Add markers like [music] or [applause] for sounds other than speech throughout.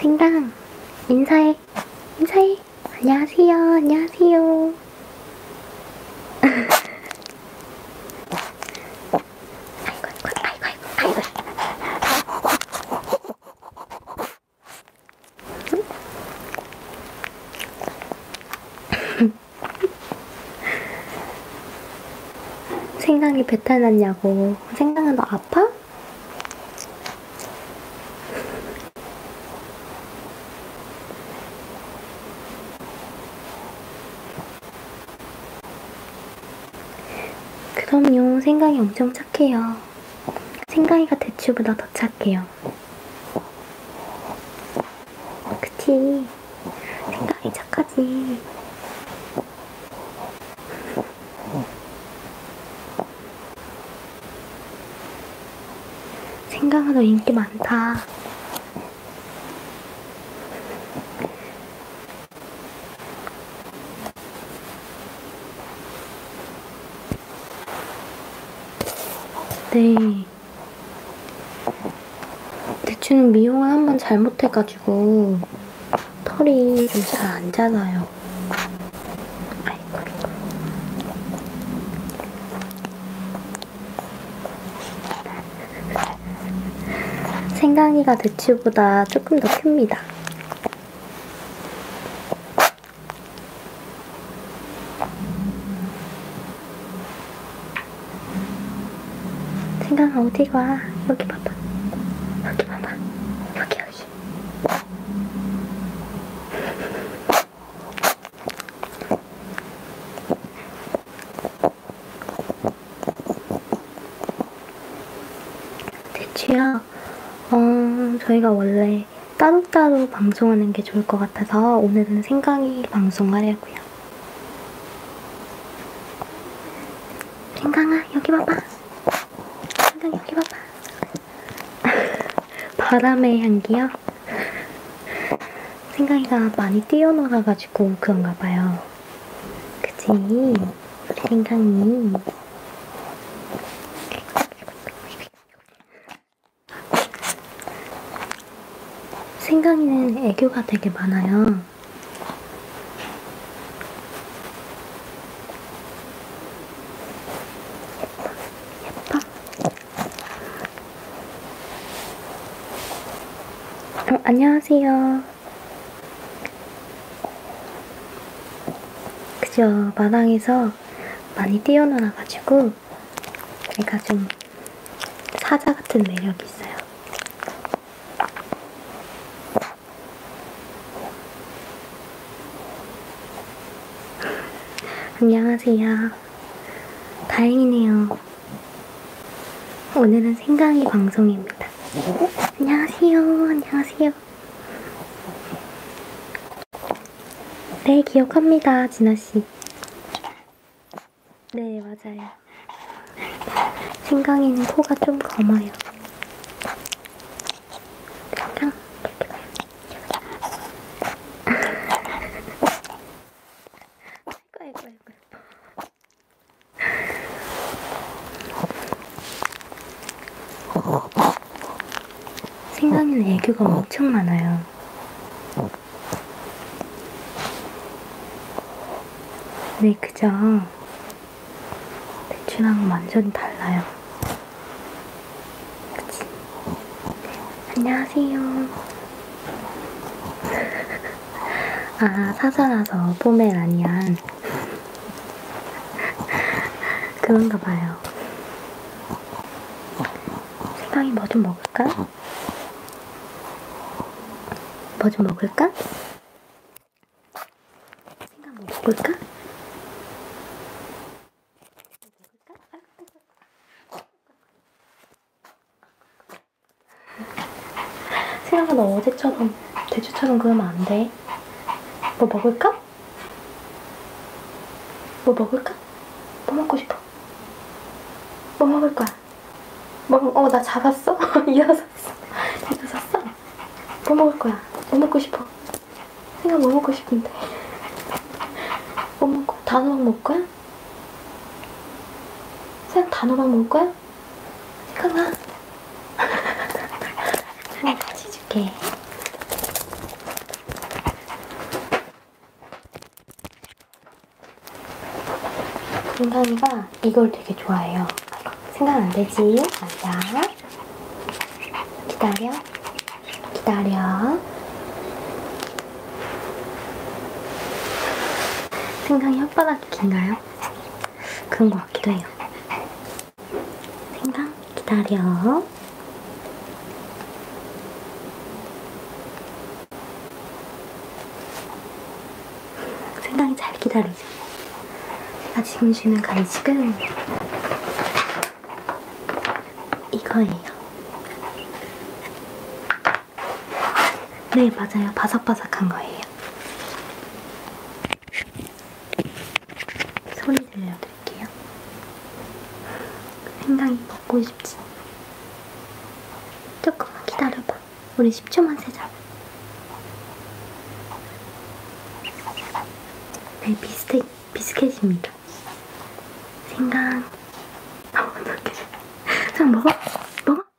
생강 인사해 인사해 안녕하세요 안녕하세요 생강이 배탈났냐고 생강아 너 아파? 그럼요, 생강이 엄청 착해요. 생강이가 대추보다 더 착해요. 그치? 생강이 착하지. 생강아 너 인기 많다. 네. 대추는 미용을 한번 잘못해가지고 털이 좀 잘 안 자라요. 아이고. 생강이가 대추보다 조금 더 큽니다. 생강아 어디 가? 여기 봐봐. 여기 봐봐. 여기 여기. 대취야, 어, 저희가 원래 따로따로 방송하는 게 좋을 것 같아서 오늘은 생강이 방송하려고요. 생강아, 여기 봐봐. 생강 여기 봐봐. [laughs] 바람의 향기요? 생각이가 많이 뛰어나가가지고 그런가 봐요. 그치? 생각이. 생강이는 애교가 되게 많아요. 예뻐? 어, 안녕하세요. 그죠. 마당에서 많이 뛰어놀아가지고 제가 좀 사자 같은 매력이 있어요. 안녕하세요. 다행이네요. 오늘은 생강이 방송입니다. 안녕하세요. 안녕하세요. 네, 기억합니다, 진아씨. 네, 맞아요. 생강이는 코가 좀 검어요. 생강. 아이고 아이고 아이고 생강이는 애교가 엄청 많아요. 네, 그죠? 배추랑 완전 달라요. 그치? 네, 안녕하세요. [laughs] 아, 사자라서 포메라니안. 그런가 봐요. 식빵이 뭐 좀 먹을까? 뭐 좀 먹을까? 생각 뭐 먹을까? 뭐 먹을까? 생각아 너 어제처럼 대추처럼 그러면 안 돼. 뭐 먹을까? 뭐 먹을까? 뭐 먹고 싶어? 뭐 먹을 거야? 뭐, 어, 나 잡았어? [laughs] 일어섰어. 일어섰어? 뭐 먹을 거야? 뭐 먹고 싶어? 생각 뭐 먹고 싶은데? 뭐 먹고, 단호박 먹을 거야? 쌤 단호박 먹을 거야? 잠깐만. 나 같이 줄게. 인간이가 이걸 되게 좋아해요. 생각 안 되지? 맞아. 기다려. 기다려. 생강이 혓바닥인가요? 그런 것 같기도 해요. 생강 기다려. 생강이 잘 기다리죠. 아 지금 주는 간식은 이거예요. 네, 맞아요. 바삭바삭한 거예요. 소리 들려드릴게요. 생강이 먹고 싶지? 조금만 기다려봐. 우리 10초만 세자. 네, 비스켓, 비스켓입니다. 생강. 아, 어떡해. 자, 먹어. 먹어.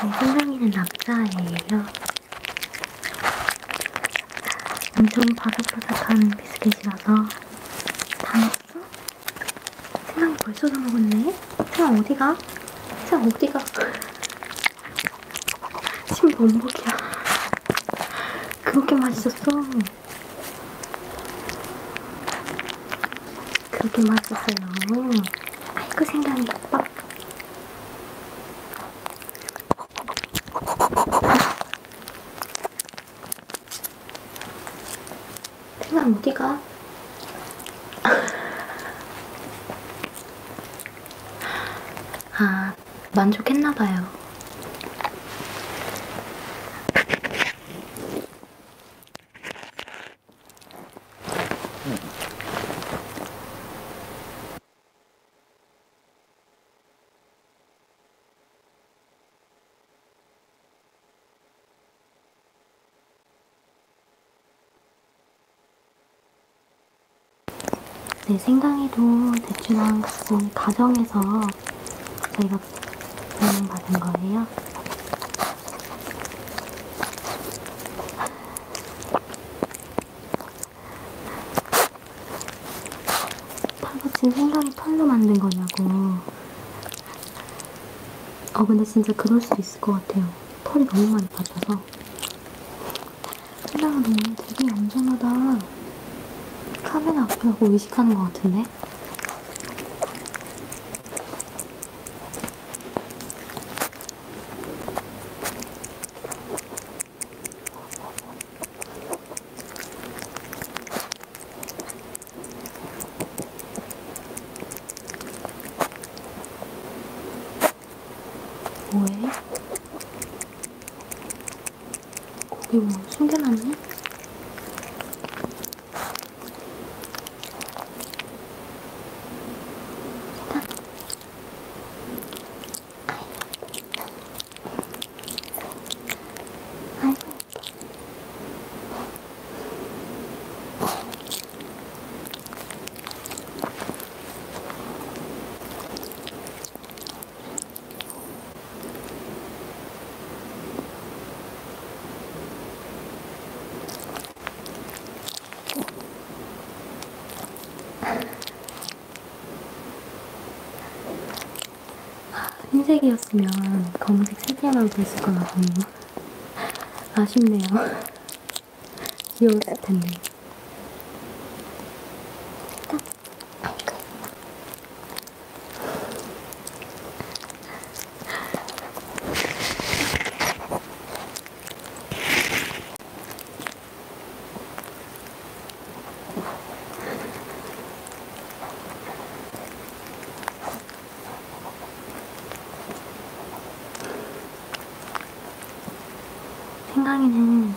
제 네, 사랑이는 남자예요. 엄청 바삭바삭한 비스킷이라서 다 먹었어? 세상 벌써 다 먹었네? 세상 어디가? 세상 어디가? 침 범벅이야. 그렇게 맛있었어. 그렇게 맛있었어요. 아이고, 생각이 빡. 생각 어디가? 아, 만족했나봐요. 네, 생강이도 대추랑 같이 가정에서 저희가 배송받은 거예요. 털붙인 생강이 털로 만든 거냐고. 어, 근데 진짜 그럴 수도 있을 것 같아요. 털이 너무 많이 빠져서. 찰나가 너무 되게 얌전하다. 카메라 앞이라고 의식하는 것 같은데? 뭐해? 거기 뭐 숨겨놨니? 아이고 아이고 흰색이었으면 검은색 세 개나 됐을 거라고 아쉽네요. 요스탄네 생강이는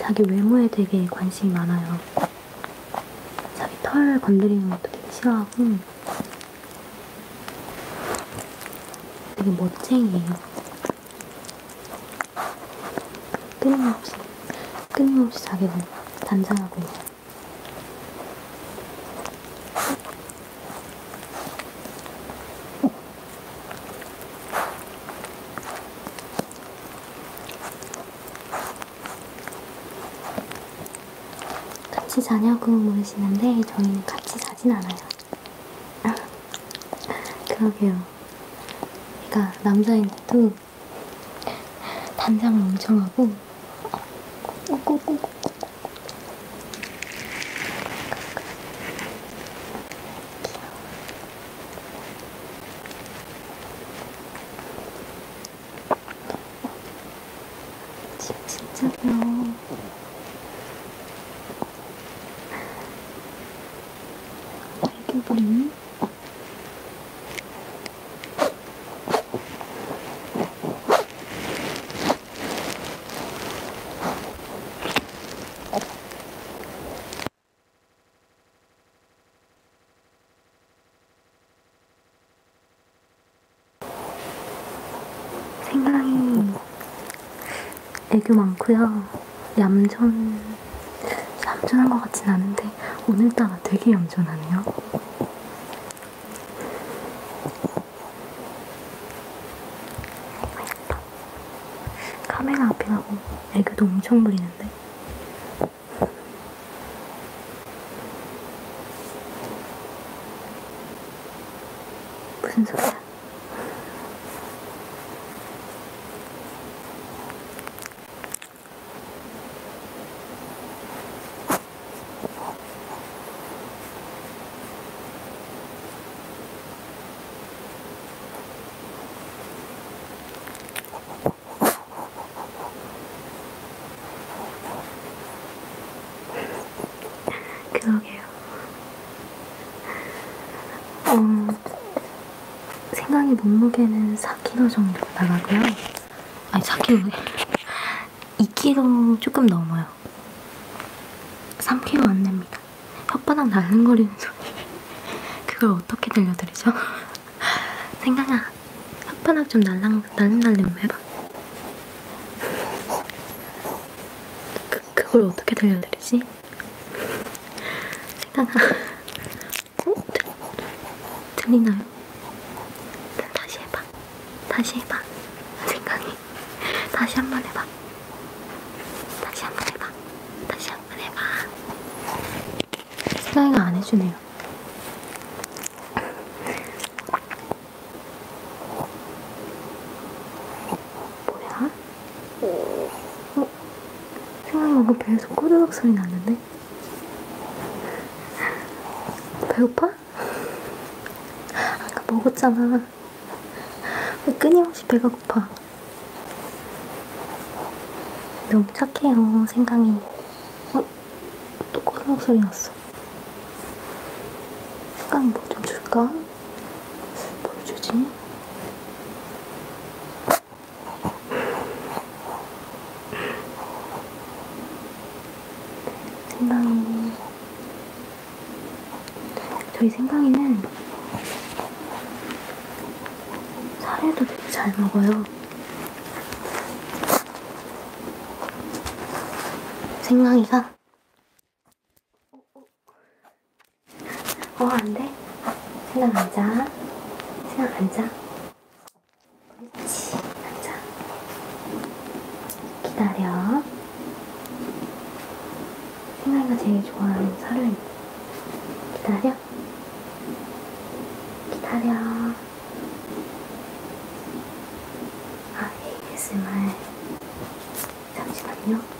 자기 외모에 되게 관심이 많아요. 자기 털 건드리는 것도 되게 싫어하고 되게 멋쟁이에요. 끊임없이, 끊임없이 자기를 단장하고 있어요. 같이 자냐고 물으시는데 저희는 같이 자진 않아요. [laughs] 그러게요. 제가 그러니까 남자인데도 단장을 엄청 하고 꼬꼬꼬꼬꼬 진짜요. 이게 뭐니? 어. 생강이 애교 많고요. 얌전, 얌전한 것 같진 않은데 오늘따라 되게 얌전하네요. 카메라 앞이라고 애교도 엄청 부리는데. 무슨 소리야? 그러게요. 어, 생각이 몸무게는 4kg 정도 나가고요. 아니 4kg 2kg 조금 넘어요. 3kg 안 됩니다. 혓바닥 날름거리는 소리 그걸 어떻게 들려드리죠? 생각아 혓바닥 좀 날랑, 날름날름 해봐 그, 그걸 어떻게 들려드리지? 생각아 어? 들, 들리나요? 다시 해봐 다시 해봐 생각이 다시 한번 해봐 다시 한 번 해봐. 다시 한 번 해봐. 슬라이가 안 해주네요. 뭐야? 어? 어? 생각나고 배에서 꼬르륵 소리 나는데? 배고파? 아까 먹었잖아. 끊임없이 배가 고파. 너무 착해요, 생강이. 어? 또 꼬르륵 소리 났어. 생강이 뭐좀 줄까? 뭘 주지? 생강이 저희 생강이는 사료도 되게 잘 먹어요. 생강이가 어, 어, 어 안 돼. 생강 앉아. 생강 앉아. 그렇지. 앉아. 기다려. 희나가 제일 좋아하는 설레 기다려 기다려 아 ASMR 잠시만요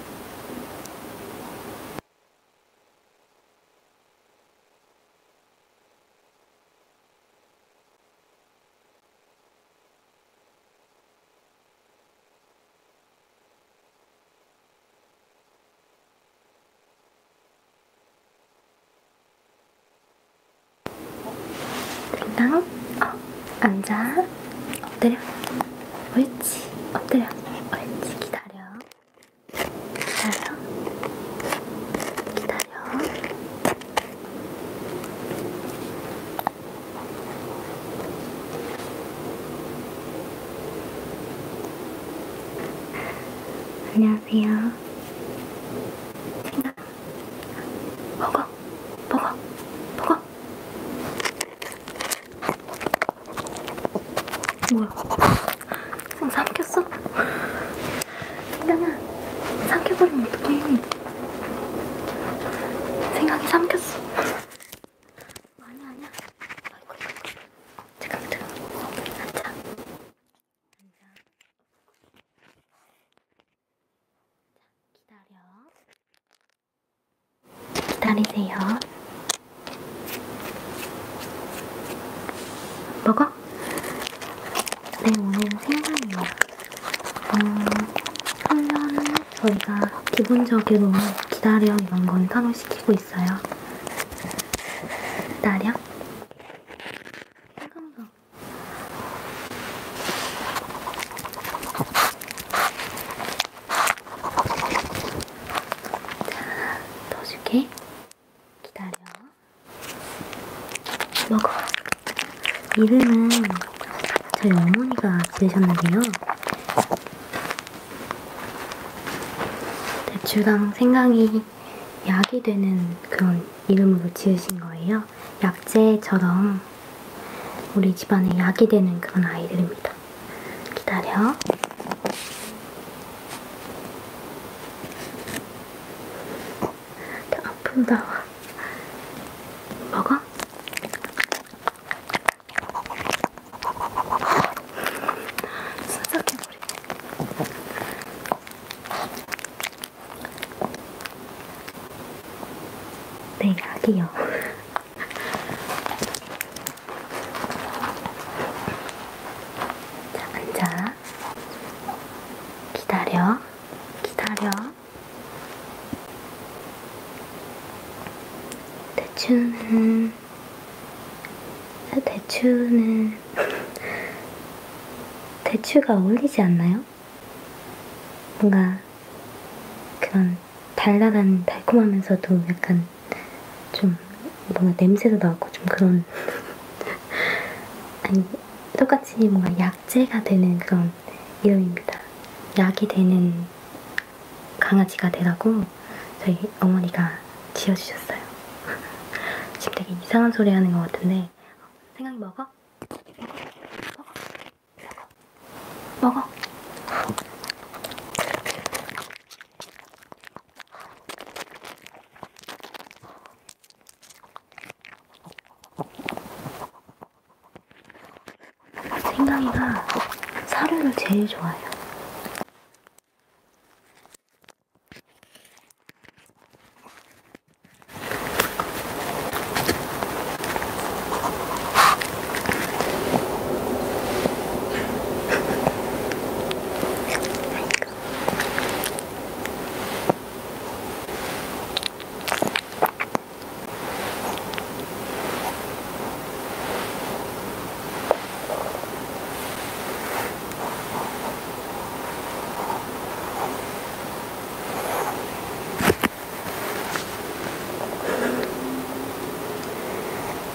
일단 어, 앉아 엎드려 옳지 엎드려 옳지 기다려 기다려 기다려 안녕하세요. 생각, 보고, 보고, 보고. 뭐야? 손 어, 삼켰어? 생각아, 삼켜버리면 어떡해. 생각이 삼켰어. 아니야 아니야 아이고 이거 잠깐만 잠깐만 앉아 앉아 기다려 기다리세요 먹어? 네 오늘 생선이요 음, 한 저희가 기본적으로 기다려 이런 건 상호시키고 있어요. 기다려? 잠깐만. 자, 더 줄게. 기다려. 먹어. 이름은 저희 어머니가 지으셨는데요. 대추랑 생강이 약이 되는 그런 이름으로 지으신 거예요. 약재처럼 우리 집안에 약이 되는 그런 아이들입니다. 기다려. 앞으로 나와. 먹어. 순삭해버리네. 네, 아기요. 자, 앉아. 기다려. 기다려. 대추는 대추는 대추가 어울리지 않나요? 뭔가 그런 달달한 달콤하면서도 약간 좀 뭔가 냄새도 나고 좀 그런 아니 똑같이 뭔가 약재가 되는 그런 이름입니다. 약이 되는 강아지가 되라고 저희 어머니가 지어주셨어요. [laughs] 지금 되게 이상한 소리 하는 것 같은데 어, 생강 먹어? 먹어? 먹어? 생강이가 사료를 제일 좋아해요.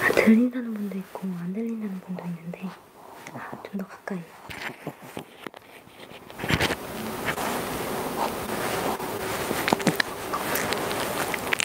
아, 들린다는 분도 있고 안 들린다는 분도 있는데 아, 좀더 가까이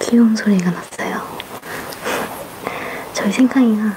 귀여운 소리가 났어요. [laughs] 저희 생강이가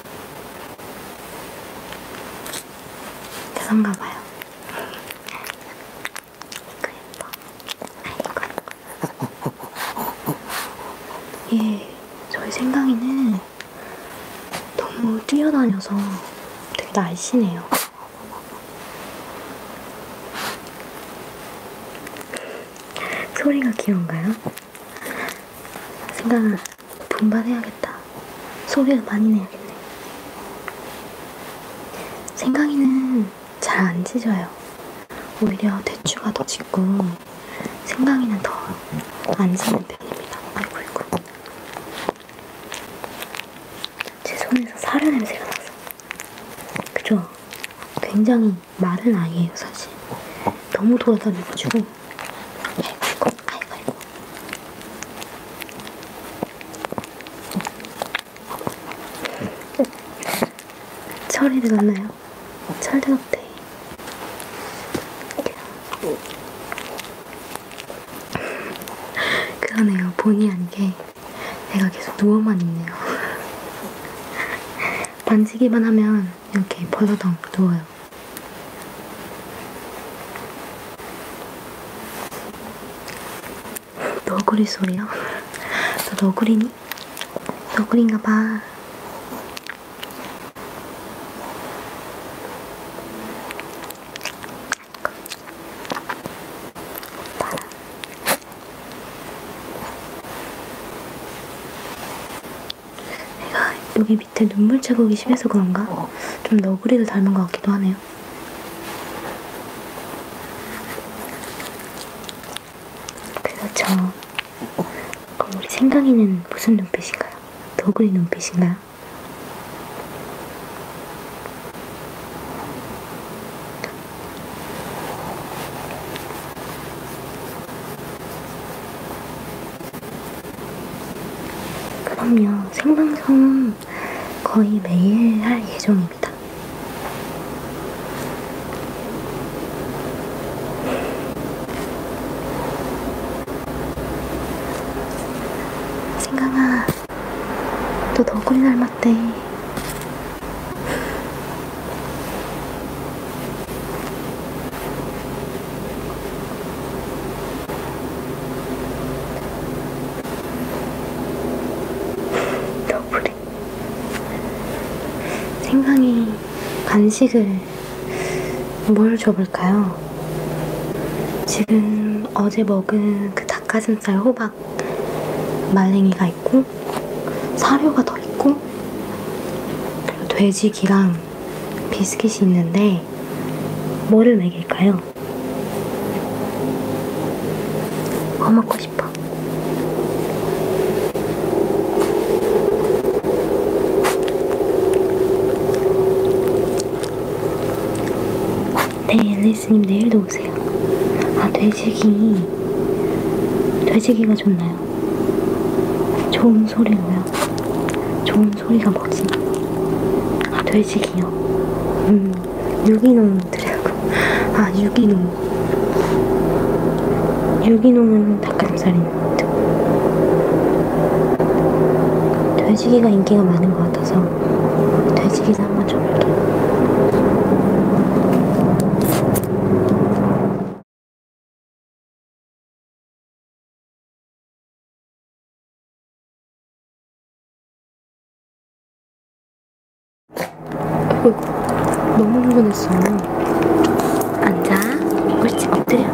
그런가봐요. 이거 예뻐. 아이고. 예, 저희 생강이는 너무 뛰어다녀서 되게 날씬해요. 소리가 귀여운가요? 생각은 분발해야겠다. 소리를 많이 내야겠네. 생강이는 잘 안 찢어요. 오히려 대추가 더 찢고 생강이는 더 안 찢는 편입니다. 아이고 이고. 제 손에서 사료 냄새가 나서. 그죠? 굉장히 좀 마른 아이예요 사실. 너무 돌아다녀가지고. 아이고 아이고 아이고 아이고. 철이 들었나요? 철 들었대. 그러네요. 본의 아니게 내가 계속 누워만 있네요. 만지기만 [laughs] 하면 이렇게 버르덩 누워요. 너구리 소리요? 너 너구리니? 너구리인가 봐. 내가 여기 밑에 눈물 자국이 심해서 그런가? 어. 좀 너구리를 닮은 것 같기도 하네요. 그렇죠. 그럼 우리 생강이는 무슨 눈빛인가요? 너구리 눈빛인가요? 그럼요. 생방송 거의 매일 할 예정입니다. 생강아, 너 너구리 닮았대. 더블이 생강이 간식을 뭘 줘볼까요? 지금 어제 먹은 그 닭가슴살 호박 말랭이가 있고 사료가 더 있고 그리고 돼지기랑 비스킷이 있는데 뭐를 먹일까요? 뭐 먹고 싶어? 네, 엘리스님 내일도 오세요. 아, 돼지기. 돼지기가 좋나요? 있는 좋은 소리로요. 좋은 소리가 뭐지? 아, 돼지기요. 음, 유기농들이라고. 아, 유기농. 유기농은 닭가슴살인데. 돼지기가 인기가 많은 것 같아서 돼지기도 한번 줘볼게요. 어, 너무 흥분했어. 앉아. 옳지, 엎드려.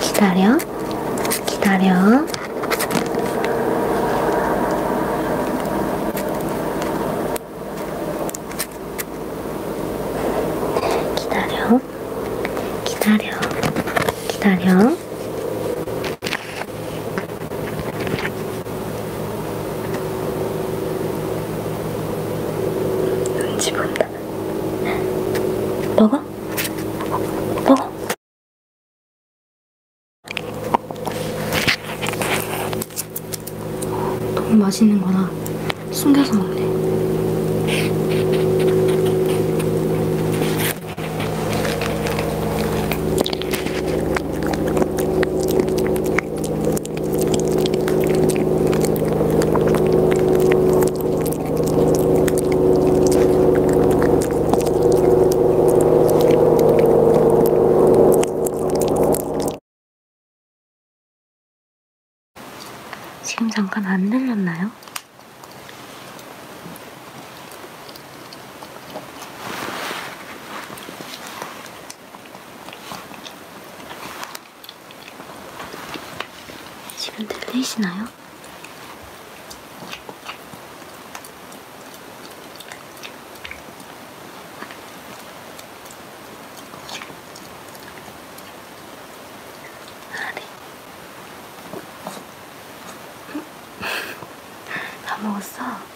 기다려 기다려 기다려 기다려. 기다려. 기다려. 눈치 본다. 먹어? 먹어. 너무 맛있는 거다. 숨겨서 먹네. 지금 잠깐 안 들렸나요? 지금 들리시나요? 아, 네. 다 먹었어?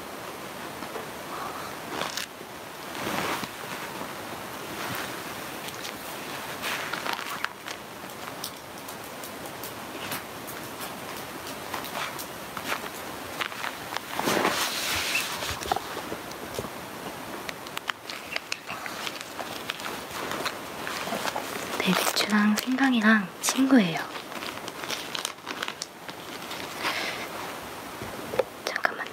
내 비추랑 생강이랑 친구예요. 잠깐만요.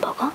생강 먹어?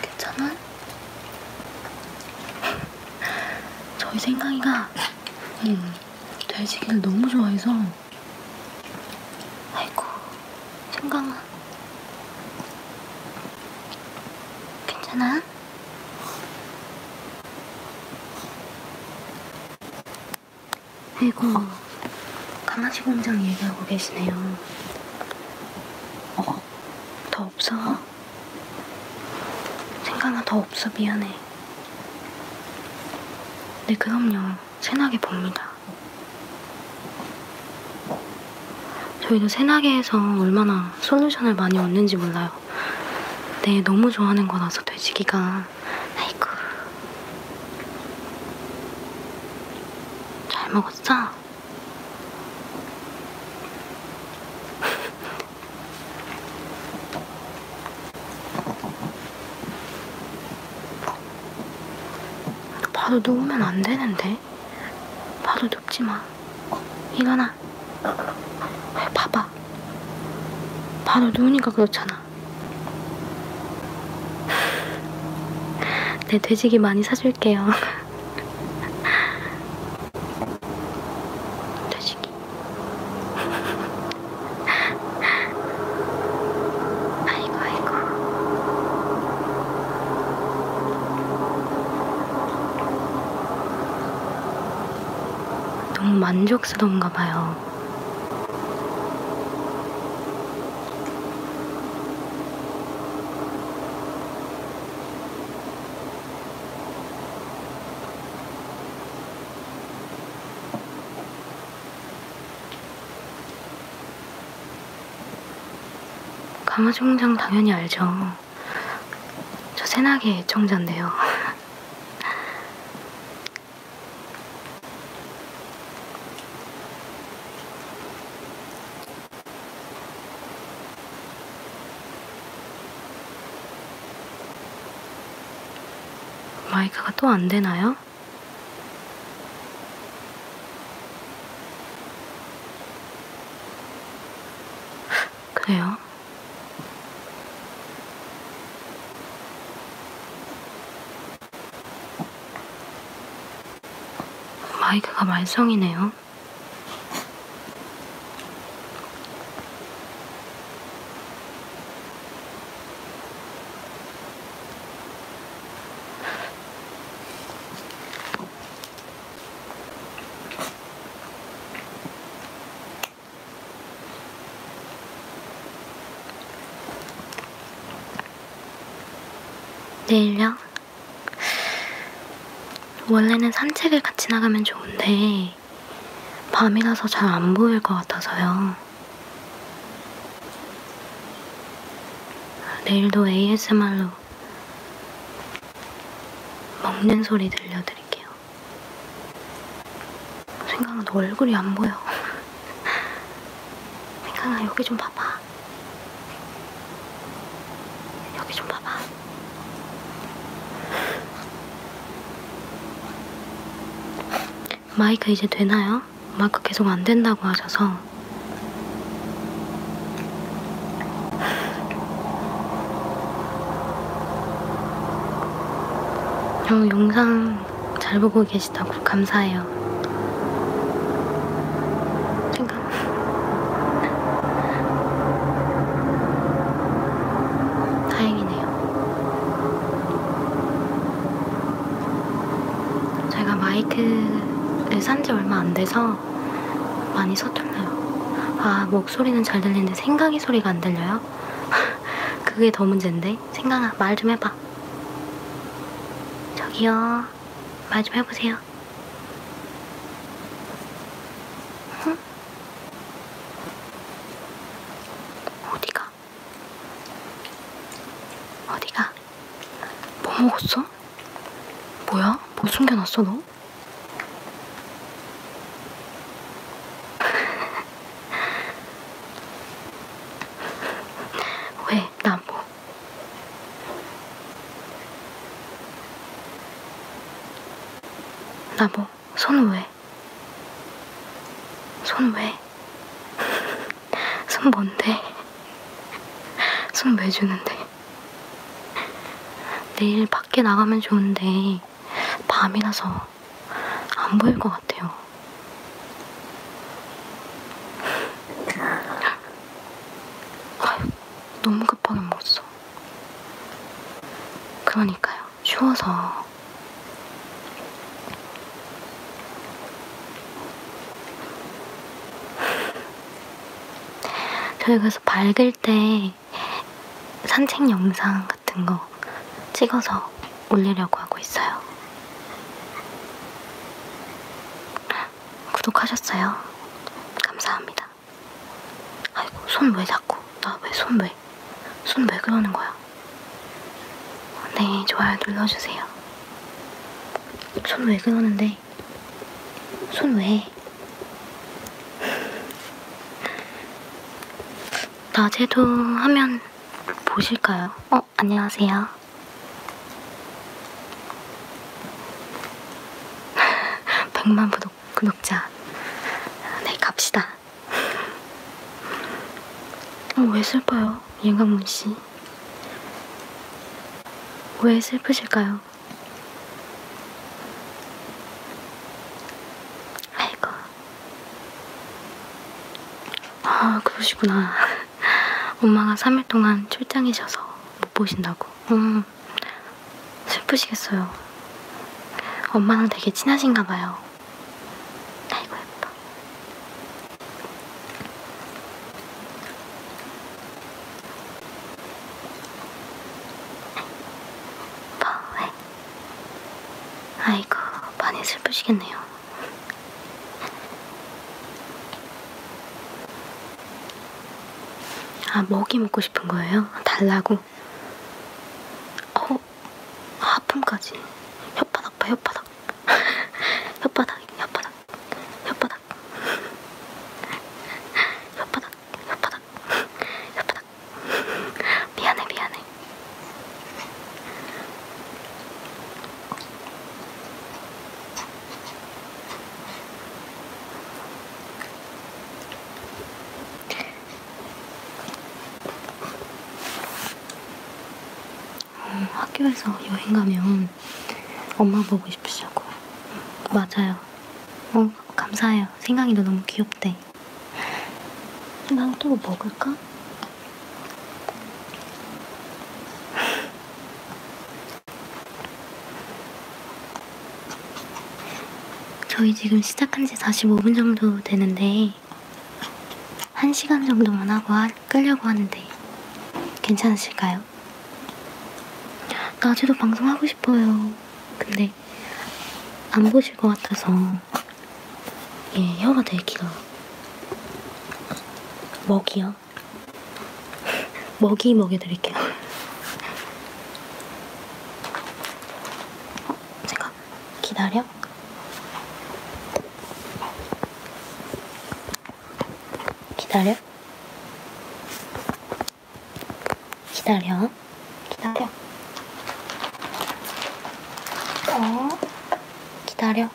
괜찮아? 저희 생강이가 음, 돼지기를 너무 좋아해서 아이고 생강아 괜찮아? 아이고 강아지 공장 얘기하고 계시네요 어, 더더 없어. 생각나 더 없어 미안해. 네 그럼요. 세나게 봅니다. 저희도 세나게에서 얼마나 솔루션을 많이 얻는지 몰라요. 네 너무 좋아하는 거라서 돼지기가 아이고 잘 먹었어? 바로 누우면 안 되는데. 바로 눕지 마. 일어나. 봐봐. 바로 누우니까 그렇잖아. 네, 돼지기 많이 사줄게요. [laughs] 다시기. 아이고 아이고. 너무 만족스러운가 봐요. 강아지 공장 당연히 알죠. 저 새나기 애청자인데요. 마이크가 또 안 되나요? 그래요. 마이크가 말썽이네요. 내일요? 원래는 산책을 같이 나가면 좋은데 밤이라서 잘 안 보일 것 같아서요. 내일도 ASMR로 먹는 소리 들려드릴게요. 생강아 너 얼굴이 안 보여. [laughs] 생강아 여기 좀 봐봐. 여기 좀 봐봐. 마이크 이제 되나요? 마이크 계속 안 된다고 하셔서. 어, 영상 잘 보고 계시다고 감사해요. 다행이네요. 제가 마이크를 산 지 얼마 안 돼서 많이 서툴러요. 아, 목소리는 잘 들리는데 생각이 소리가 안 들려요? [laughs] 그게 더 문제인데? 생각아, 말 좀 해봐. 저기요, 말 좀 해보세요. 응? 어디가? 어디가? 뭐 먹었어? 뭐야? 뭐 숨겨놨어 너? [laughs] 왜? 나 뭐? 나보 뭐, 손 왜? 손 왜? [laughs] 손 뭔데? 손 왜 주는데? 내일 밖에 나가면 좋은데 밤이라서 안 보일 것 같아요. 아유, 너무 급하게 먹었어. 그러니까요. 추워서. [laughs] 저희 그래서 밝을 때 산책 영상 같은 거 찍어서 올리려고 하고 있어요. 구독하셨어요? 감사합니다. 아이고 손 왜 자꾸 나 왜 손 왜? 손 왜 그러는 거야? 네 좋아요 눌러주세요 손 왜 그러는데? 손 왜? [laughs] 낮에도 하면 보실까요? 어 안녕하세요 [laughs] 백만 구독 구독자. 네, 갑시다. 어, 왜 슬퍼요, 예감문 씨? 왜 슬프실까요? 아이고. 아, 그러시구나. [laughs] 엄마가 3일 동안 출장이셔서 못 보신다고. 음. 좀 슬프시겠어요. 엄마랑 되게 친하신가 봐요. 아이고 예뻐. 아이고, 네. 왜? 아이고 많이 슬프시겠네요. 아, 먹이 먹고 싶은 거예요? 달라고? 어, 하품까지. 혓바닥 봐, 혓바닥. [laughs] 혓바닥, 혓바닥, 혓바닥. 혓바닥, 혓바닥, 혓바닥. 미안해, 미안해. 음, 학교에서 여행 가면 엄마 보고 싶으시다고 맞아요. 어, 감사해요. 생강이도 너무 귀엽대. 생강 또 먹을까? 저희 지금 시작한 지 45분 정도 되는데 1시간 정도만 하고 하, 끌려고 하는데 괜찮으실까요? 낮에도 방송하고 싶어요. 근데 안 보실 것 같아서 예, 혀가 되게 길어요. 먹이요? [laughs] 먹이 먹여드릴게요. 어, 제가 기다려? 기다려? 기다려? 기다려? 어? 기다려?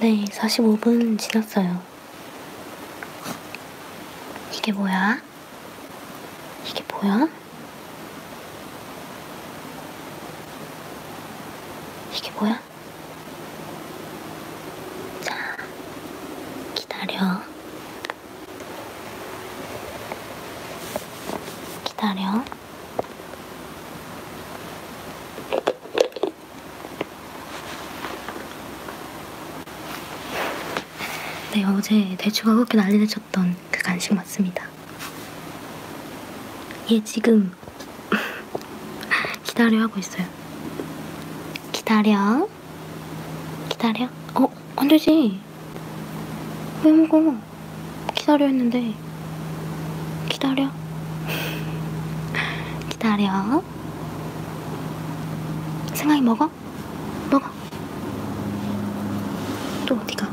네, 45분 지났어요. 이게 뭐야? 이게 뭐야? 이게 뭐야? 자, 기다려. 기다려. 네, 어제 대추가 그렇게 난리내쳤던 그 간식 맞습니다. 얘 예, 지금 [laughs] 기다려 하고 있어요. 기다려. 기다려. 어, 안 되지. 아니 왜 먹어? 기다려 했는데 기다려 [laughs] 기다려 생각이 먹어? 먹어 또 어디가?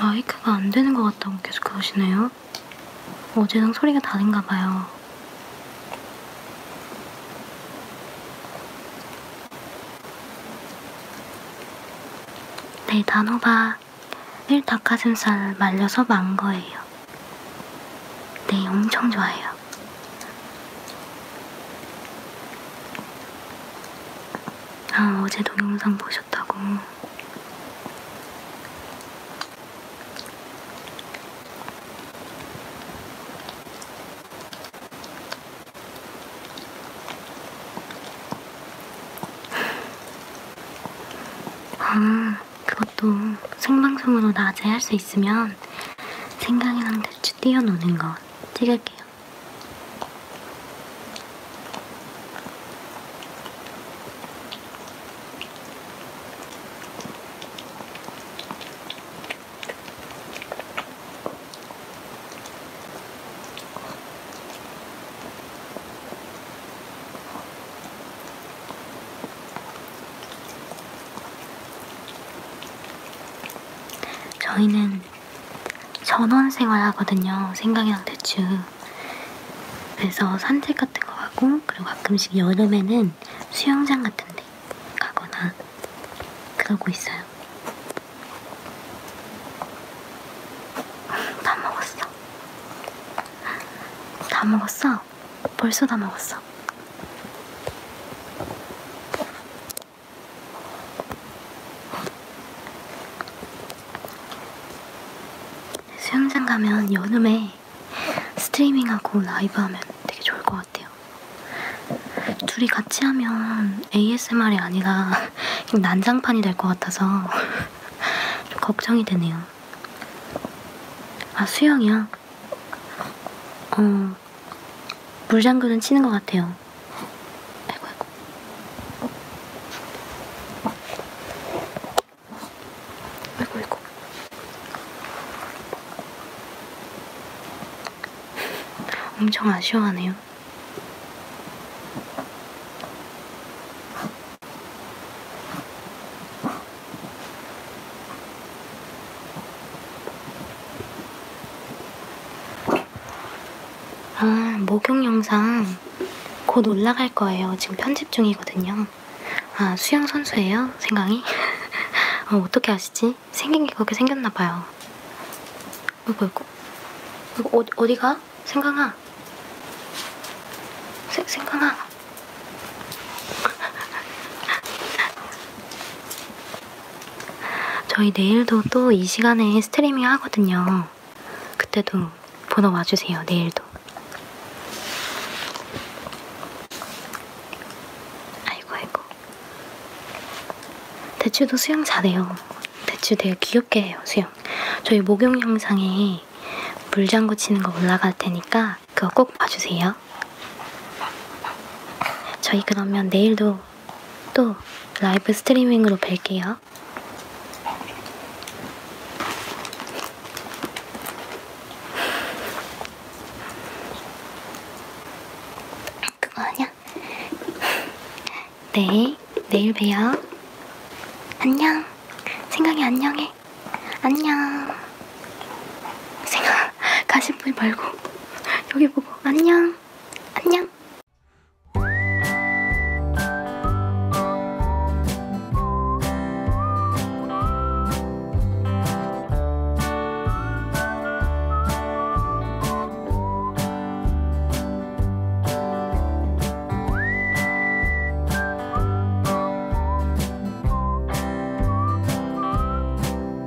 마이크가 안 되는 것 같다고 계속 그러시네요. 어제랑 소리가 다른가 봐요. 네, 단호박을 닭가슴살 말려서 만 거예요. 네, 엄청 좋아해요. 아, 어제 동영상 보셨다고. 아, 그것도 생방송으로 낮에 할 수 있으면 그냥 생각이랑 대충 띄어놓는 거 찍을게요. 저희는 전원 생활하거든요. 생강이랑 대추. 그래서 산책 같은 거 가고 그리고 가끔씩 여름에는 수영장 같은 데 가거나 그러고 있어요. 다 먹었어. 다 먹었어? 벌써 다 먹었어. 수영장 가면 여름에 스트리밍하고 라이브 하면 되게 좋을 것 같아요. 둘이 같이 하면 ASMR이 아니라 난장판이 될 것 같아서 [laughs] 좀 걱정이 되네요. 아, 수영이야? 어, 물장구는 치는 것 같아요. 아이고 아이고. 아이고 아이고. 엄청 아쉬워하네요. 아, 목욕 영상 곧 올라갈 거예요. 지금 편집 중이거든요. 아, 수영 선수예요? 생강이? [laughs] 어, 어떻게 아시지? 생긴 게 그렇게 생겼나 봐요. 이거 이거 이거 어, 어디가? 생강아. 세, 생강아. [laughs] 저희 내일도 또 이 시간에 스트리밍 하거든요. 그때도 보러 와주세요, 내일도. 아이고, 아이고. 대추도 수영 잘해요. 대추 되게 귀엽게 해요, 수영. 저희 목욕 영상에 물장구 치는 거 올라갈 테니까 그거 꼭 봐주세요. 있어요. 저희 그러면 내일도 또 라이브 스트리밍으로 뵐게요. 그거 아니야? 네, 내일 봬요. 안녕. 생각이 안녕해. 안녕. 생각, 가십불 말고, 여기 보고. 안녕. 안녕.